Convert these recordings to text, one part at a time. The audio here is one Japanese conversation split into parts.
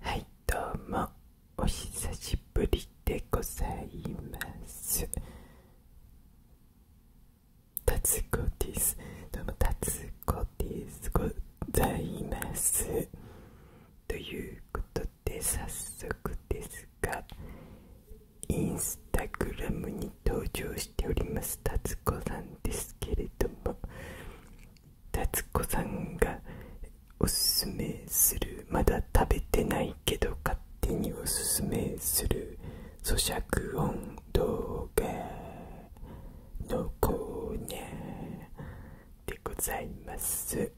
はいどうもお久しぶりでございますたつ子ですどうもたつ子ですございますということで早速ですがインスタグラムに登場しておりますたつ子さんですけれども達子さんがおすすめするまだ食べてないけど勝手におすすめする咀嚼音動画のコーナーでございます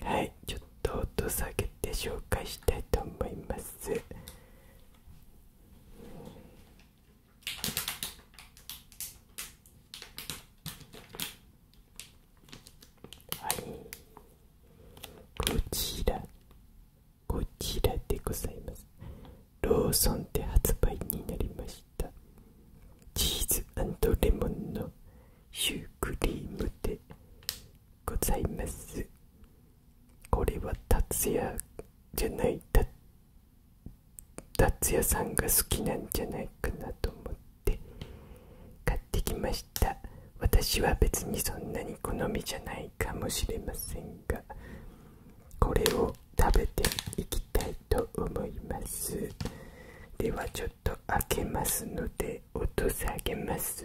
はいちょっと音下げて紹介したいと思いますはいこちらこちらでございますローソンで発売になりましたチーズレモンのシュークリームでございますこれは達也じゃない達也さんが好きなんじゃないかなと思って買ってきました私は別にそんなに好みじゃないかもしれませんがこれを食べていきたいと思いますではちょっと開けますのでとさげます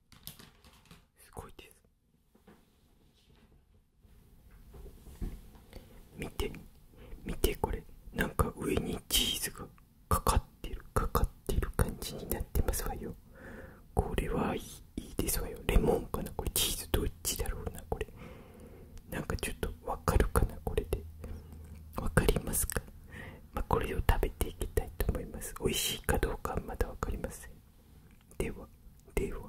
すごいです見て見てこれなんか上にチーズがかかってるかかってる感じになってますわよこれはいいですわよレモンかなこれチーズどっちだろうなこれなんかちょっとわかるかなこれでわかりますかこれを食べていきたいと思います美味しいかどうかはまだわかりませんではでは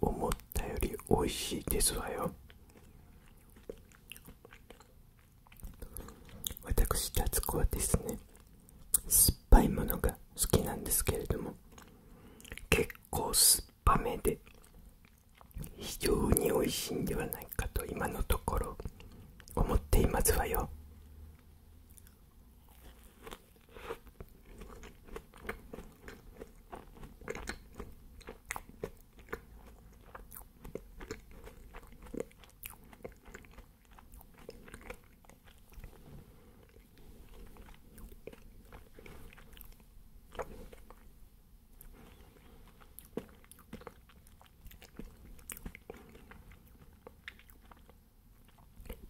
思ったより美味しいですわよ私達子はですね酸っぱいものが好きなんですけれども結構酸っぱめで非常に美味しいんではないかと今のところ思っていますわよ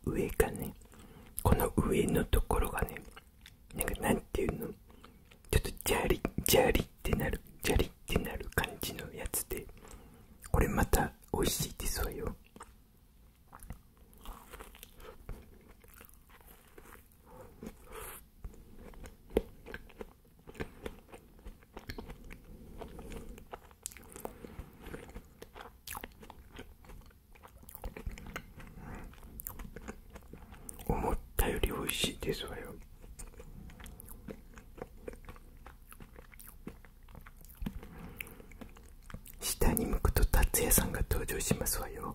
上かねこの上のところがねなんかなんていうのちょっとジャリジャリってなるジャリってなる感じのやつでこれまた美味しいですわよ思ったより美味しいですわよ。下に向くと達也さんが登場しますわよ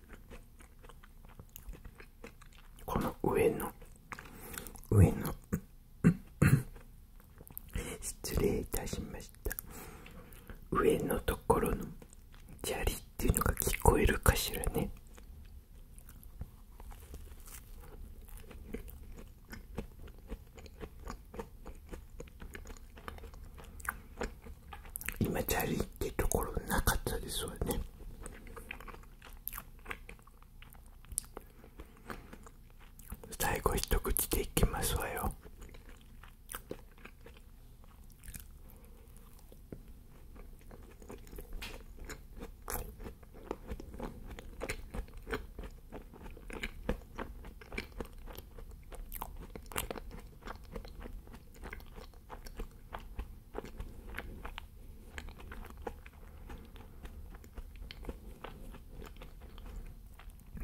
この上の上の 失礼いたしました上のところの砂利っていうのが聞こえるかしらね今チャリってところなかったですわね最後一口でいきますわよ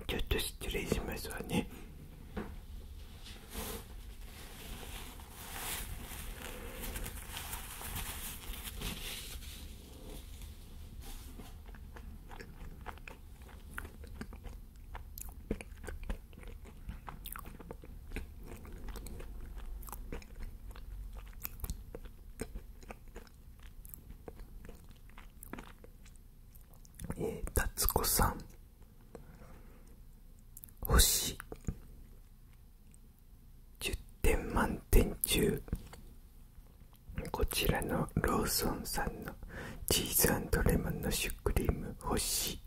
ちょっと失礼しますわね。えー、達子さん星10点満点中こちらのローソンさんのチーズレモンのシュークリーム欲しい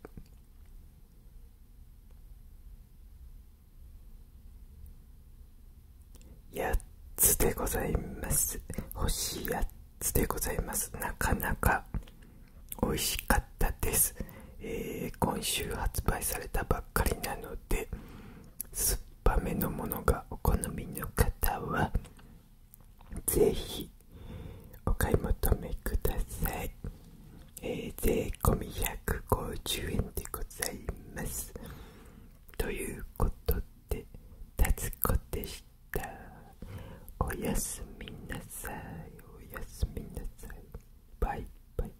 8つでございます欲しい8つでございますなかなか美味しかったです、え今週発売されたばっかりなので酸っぱめのものがお好みの方はぜひお買い求めください、え税込み150円でございますということでたつこでしたおやすみなさいおやすみなさいバイバイ